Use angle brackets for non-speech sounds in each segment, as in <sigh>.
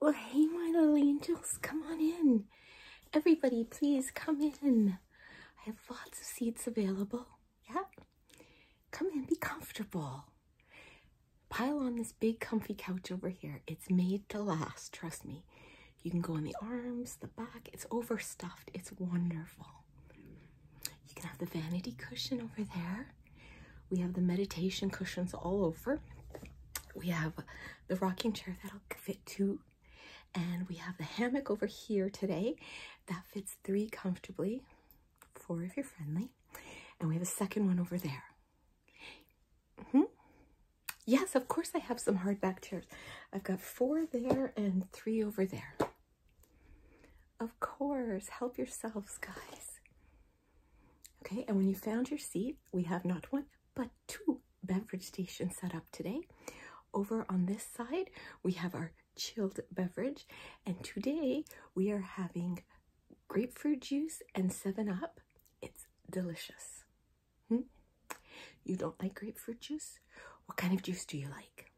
Well, hey, my little angels, come on in. Everybody, please come in. I have lots of seats available. Yeah? Come in, be comfortable. Pile on this big comfy couch over here. It's made to last, trust me. You can go on the arms, the back. It's overstuffed. It's wonderful. You can have the vanity cushion over there. We have the meditation cushions all over. We have the rocking chair that'll fit two. And we have the hammock over here today that fits three comfortably, four if you're friendly. And we have a second one over there. Mm-hmm. Yes, of course I have some hardback chairs. I've got four there and three over there. Of course, help yourselves, guys. Okay, and when you found your seat, we have not one but two beverage stations set up today. Over on this side, we have our chilled beverage, and today we are having grapefruit juice and 7 Up. It's delicious. Hmm? You don't like grapefruit juice? What kind of juice do you like?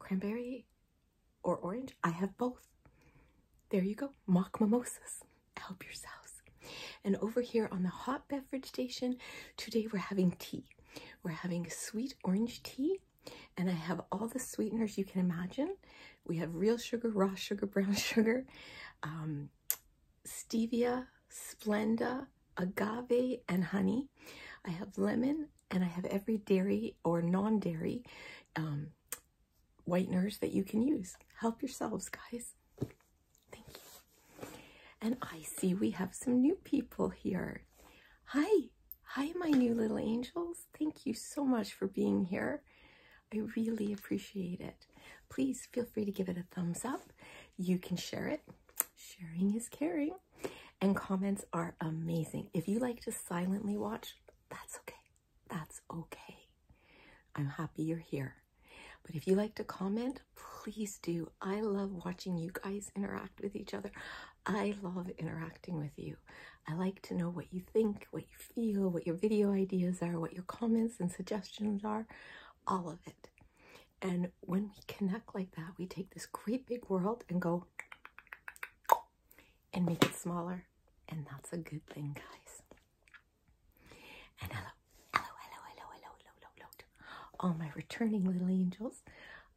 Cranberry or orange. I have both. There you go. Mock mimosas. Help yourselves. And over here on the hot beverage station, today we're having tea. We're having sweet orange tea, and I have all the sweeteners you can imagine. We have real sugar, raw sugar, <laughs> brown sugar, um, stevia, splenda, agave, and honey. I have lemon, and I have every dairy or non-dairy um, whiteners that you can use. Help yourselves, guys. Thank you. And I see we have some new people here. Hi. Hi, my new little angels. Thank you so much for being here. I really appreciate it. Please feel free to give it a thumbs up. You can share it. Sharing is caring. And comments are amazing. If you like to silently watch, that's okay. That's okay. I'm happy you're here. But if you like to comment, please do. I love watching you guys interact with each other. I love interacting with you. I like to know what you think, what you feel, what your video ideas are, what your comments and suggestions are, all of it. And when we connect like that, we take this great big world and go and make it smaller. And that's a good thing, guys. And hello, hello, hello, hello, hello, hello, hello, All my returning little angels,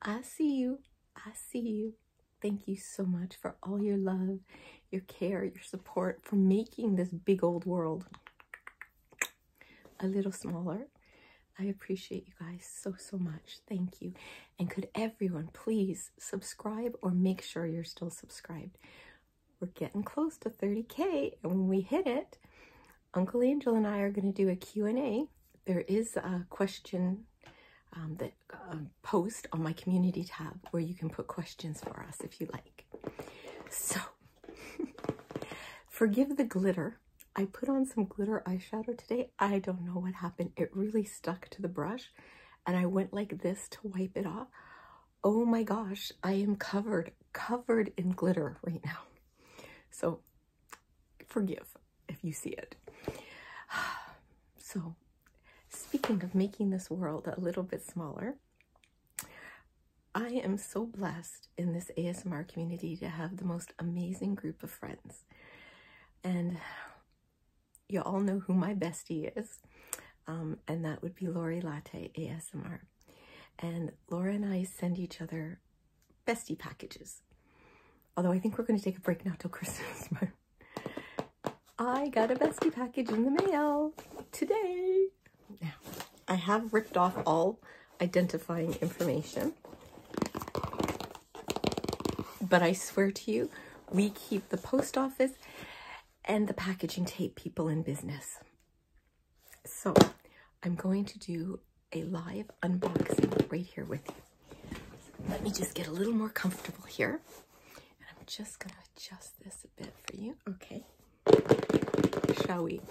I see you. I see you. Thank you so much for all your love, your care, your support, for making this big old world a little smaller. I appreciate you guys so, so much. Thank you. And could everyone please subscribe or make sure you're still subscribed. We're getting close to 30K and when we hit it, Uncle Angel and I are going to do a Q&A. There is a question um, that uh, post on my community tab where you can put questions for us if you like. So, <laughs> forgive the glitter. I put on some glitter eyeshadow today. I don't know what happened. It really stuck to the brush and I went like this to wipe it off. Oh my gosh, I am covered, covered in glitter right now. So forgive if you see it. <sighs> So speaking of making this world a little bit smaller, I am so blessed in this ASMR community to have the most amazing group of friends. And you all know who my bestie is, um, and that would be Lori Latte ASMR. And Laura and I send each other bestie packages. Although I think we're going to take a break now till <laughs> Christmas. I got a bestie package in the mail today. Now, I have ripped off all identifying information. But I swear to you, we keep the post office and the packaging tape people in business. So I'm going to do a live unboxing right here with you. Let me just get a little more comfortable here. And I'm just going to adjust this a bit for you. Okay. Shall we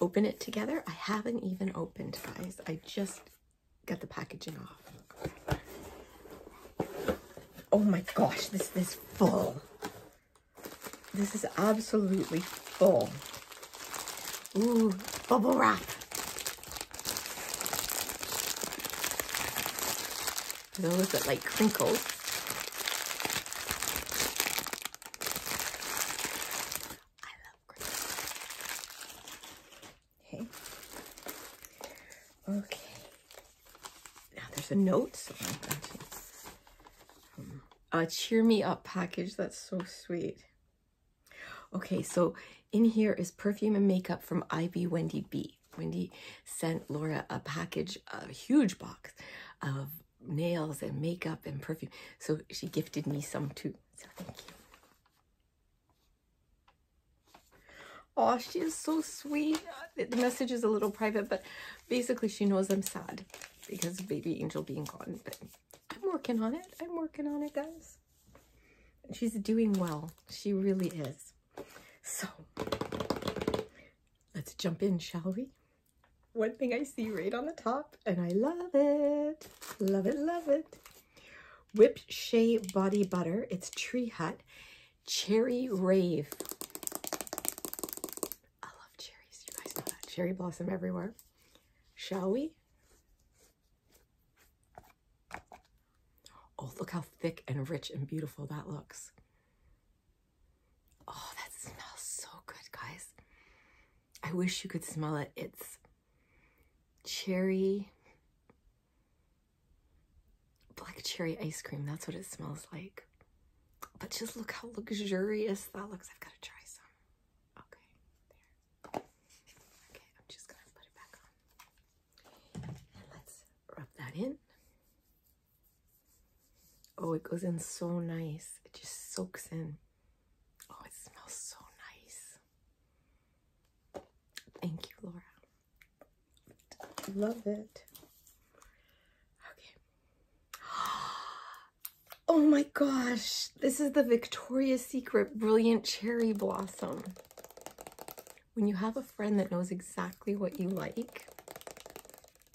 open it together? I haven't even opened, guys. I just got the packaging off. Oh my gosh, this is full. This is absolutely full. Ooh, bubble wrap. Those that like crinkles. I love crinkles. Okay. Okay. Now there's a note. So um, hmm. a cheer me up package. That's so sweet. Okay, so in here is perfume and makeup from Ivy Wendy B. Wendy sent Laura a package, a huge box of nails and makeup and perfume. So she gifted me some too. So thank you. Oh, she is so sweet. The message is a little private, but basically she knows I'm sad because baby angel being gone. But I'm working on it. I'm working on it, guys. she's doing well. She really is. So let's jump in, shall we? One thing I see right on the top, and I love it. Love it, love it. Whip Shea Body Butter. It's Tree Hut. Cherry Rave. I love cherries. You guys know that. Cherry blossom everywhere. Shall we? Oh, look how thick and rich and beautiful that looks. Oh, that smells so good, guys. I wish you could smell it. It's cherry Black cherry ice cream, that's what it smells like. But just look how luxurious that looks. I've got to try some. Okay, there. Okay, I'm just going to put it back on. let's rub that in. Oh, it goes in so nice. It just soaks in. Oh, it smells so nice. Thank you, Laura. Love it. Okay. <gasps> Oh my gosh. This is the Victoria's Secret Brilliant Cherry Blossom. When you have a friend that knows exactly what you like,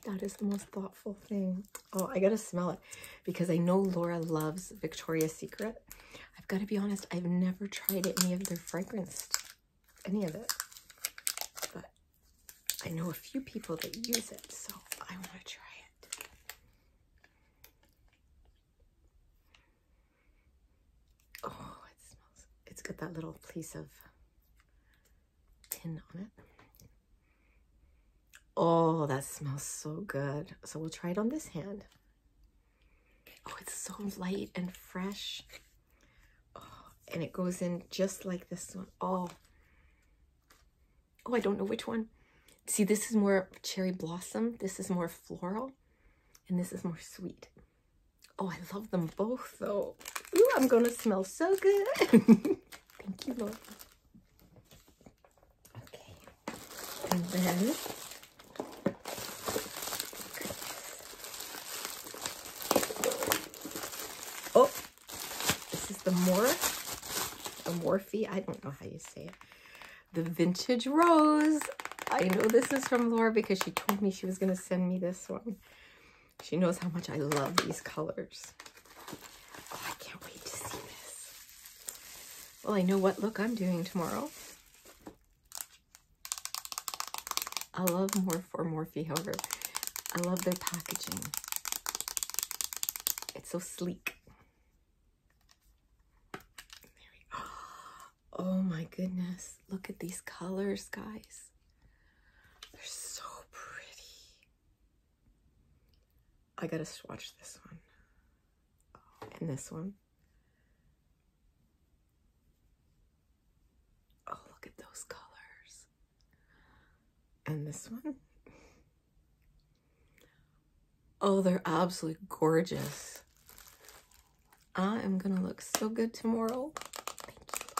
that is the most thoughtful thing. Oh, I gotta smell it because I know Laura loves Victoria's Secret. I've gotta be honest, I've never tried any of their fragrances any of it, but I know a few people that use it, so I want to try it. Oh, it smells, it's got that little piece of tin on it. Oh, that smells so good. So we'll try it on this hand. Oh, it's so light and fresh. Oh, and it goes in just like this one. Oh, oh, I don't know which one. See, this is more cherry blossom. This is more floral. And this is more sweet. Oh, I love them both, though. Ooh, I'm going to smell so good. <laughs> Thank you, Lord. Okay. And then Oh, this is the Mora, the Morphe. I don't know how you say it. The Vintage Rose. I know this is from Laura because she told me she was going to send me this one. She knows how much I love these colors. Oh, I can't wait to see this. Well, I know what look I'm doing tomorrow. I love more for Morphe, however. I love their packaging. It's so sleek. <gasps> Oh my goodness. Look at these colors, guys. They're so pretty. I gotta swatch this one. And this one. Oh, look at those colors. And this one. Oh, they're absolutely gorgeous. I am going to look so good tomorrow. Thank you,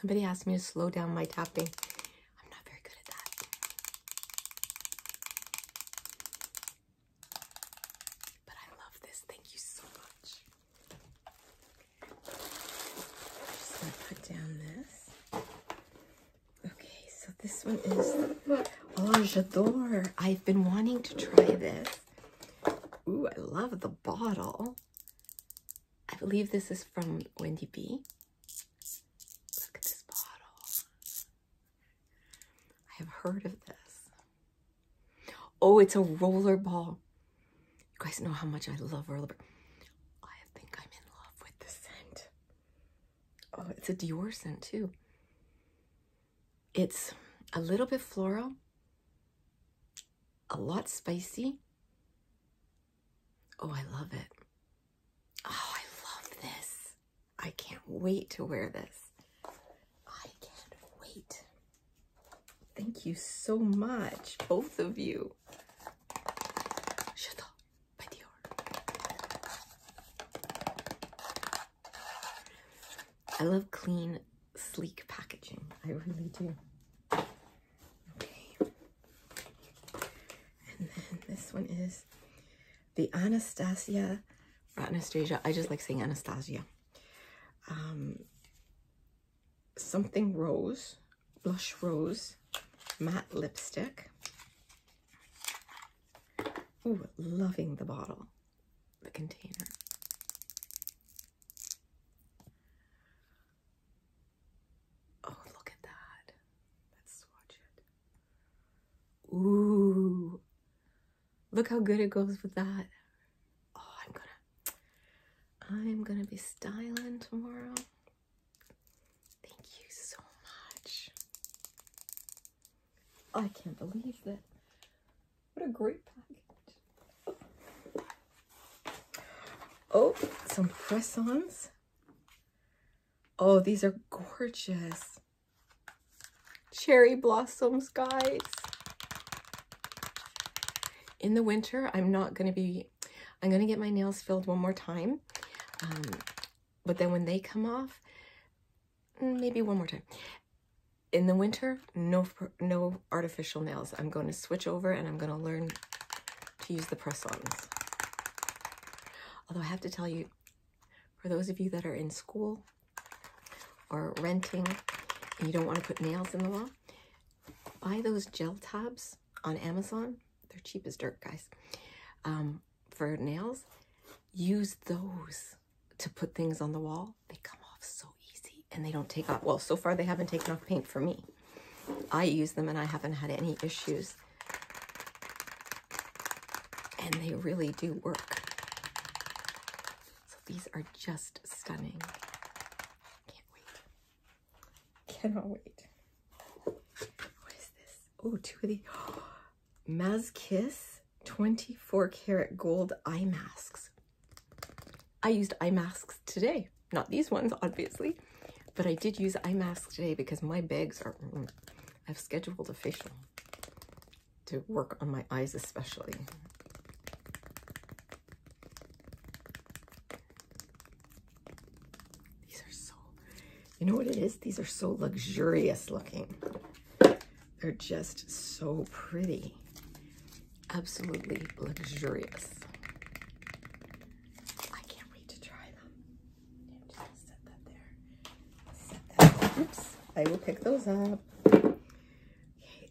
Somebody asked me to slow down my tapping. I'm not very good at that. But I love this. Thank you so much. just gonna put down this. Okay, so this one is Oh J'adore. I've been wanting to try this. Ooh, I love the bottle. I believe this is from Wendy B. Look at this bottle. I have heard of this. Oh, it's a roller ball. You guys know how much I love rollerball. I think I'm in love with the scent. Oh, it's a Dior scent too. It's a little bit floral, a lot spicy, Oh, I love it. Oh, I love this. I can't wait to wear this. I can't wait. Thank you so much, both of you. I love clean, sleek packaging. I really do. Okay. And then this one is the Anastasia, Anastasia, I just like saying Anastasia. Um, something rose, blush rose, matte lipstick. Oh, loving the bottle, the container. Oh, look at that. Let's swatch it. Ooh. Look how good it goes with that. Oh, I'm gonna I'm gonna be styling tomorrow. Thank you so much. I can't believe that. What a great package. Oh, some press Oh, these are gorgeous. Cherry blossoms, guys. In the winter, I'm not going to be, I'm going to get my nails filled one more time. Um, but then when they come off, mm, maybe one more time. In the winter, no, no artificial nails. I'm going to switch over and I'm going to learn to use the press-ons. Although I have to tell you, for those of you that are in school or renting and you don't want to put nails in the wall, buy those gel tabs on Amazon. They're cheap as dirt, guys. Um, for nails, use those to put things on the wall. They come off so easy and they don't take off. Well, so far they haven't taken off paint for me. I use them and I haven't had any issues. And they really do work. So these are just stunning. Can't wait. Cannot wait. What is this? Oh, two of these, <gasps> Mas Kiss 24 karat gold eye masks. I used eye masks today. Not these ones, obviously, but I did use eye masks today because my bags are... Mm, I've scheduled a facial to work on my eyes especially. These are so... You know what it is? These are so luxurious looking. They're just so pretty absolutely luxurious. I can't wait to try them. I will pick those up. Okay,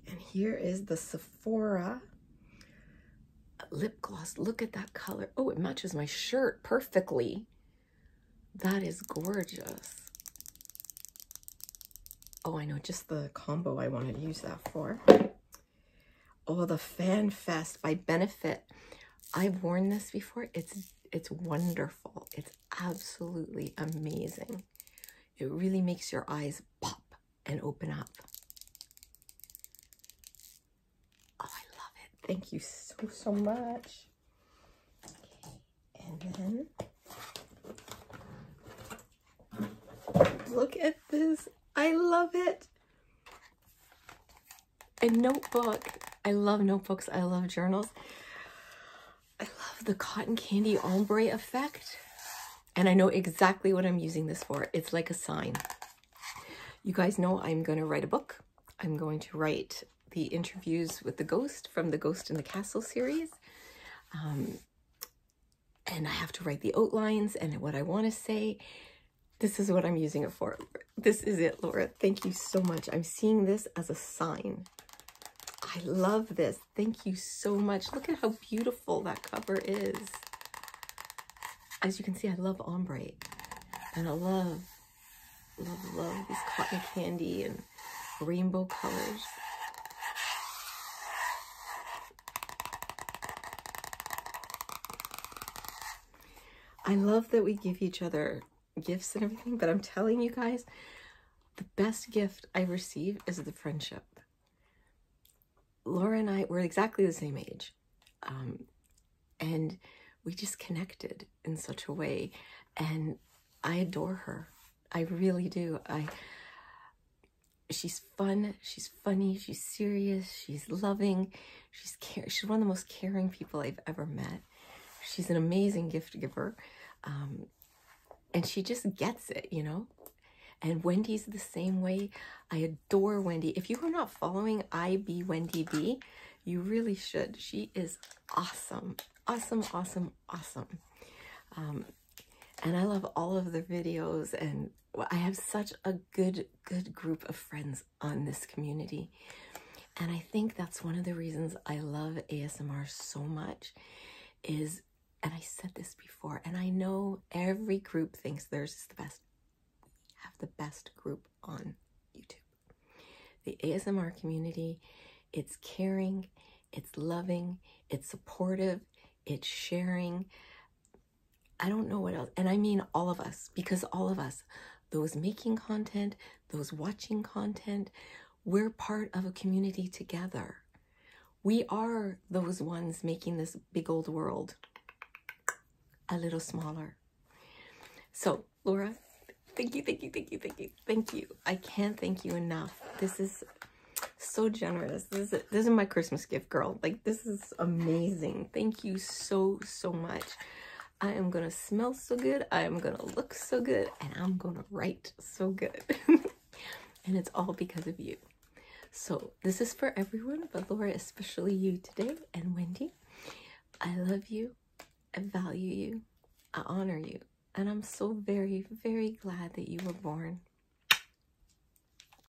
and here is the Sephora lip gloss. Look at that color. Oh, it matches my shirt perfectly. That is gorgeous. Oh, I know just the combo I wanted to use that for. Oh, the Fan Fest by Benefit. I've worn this before. It's it's wonderful. It's absolutely amazing. It really makes your eyes pop and open up. Oh, I love it. Thank you so, so much. And then, look at this. I love it. A notebook. I love notebooks. I love journals. I love the cotton candy ombre effect. And I know exactly what I'm using this for. It's like a sign. You guys know I'm going to write a book. I'm going to write the interviews with the ghost from the Ghost in the Castle series. Um, and I have to write the outlines and what I want to say. This is what I'm using it for. This is it, Laura. Thank you so much. I'm seeing this as a sign. I love this. Thank you so much. Look at how beautiful that cover is. As you can see, I love ombre. And I love, love, love these cotton candy and rainbow colors. I love that we give each other gifts and everything, but I'm telling you guys, the best gift I receive is the friendship. Laura and I were exactly the same age. Um, and we just connected in such a way. And I adore her. I really do. I she's fun, she's funny, she's serious, she's loving, she's care. She's one of the most caring people I've ever met. She's an amazing gift giver. Um, and she just gets it, you know? And Wendy's the same way. I adore Wendy. If you are not following IB Wendy B, you really should. She is awesome, awesome, awesome, awesome. Um, and I love all of the videos and I have such a good good group of friends on this community. And I think that's one of the reasons I love ASMR so much is, and I said this before, and I know every group thinks theirs is the best. We have the best group on YouTube. The ASMR community, it's caring, it's loving, it's supportive, it's sharing. I don't know what else. And I mean all of us, because all of us, those making content, those watching content, we're part of a community together. We are those ones making this big old world a little smaller. So, Laura, thank you, thank you, thank you, thank you, thank you. I can't thank you enough. This is so generous. This is, my Christmas gift, girl. Like, this is amazing. Thank you so, so much. I am going to smell so good. I am going to look so good. And I'm going to write so good. <laughs> and it's all because of you. So this is for everyone, but Laura, especially you today and Wendy. I love you. I value you. I honor you. And I'm so very, very glad that you were born.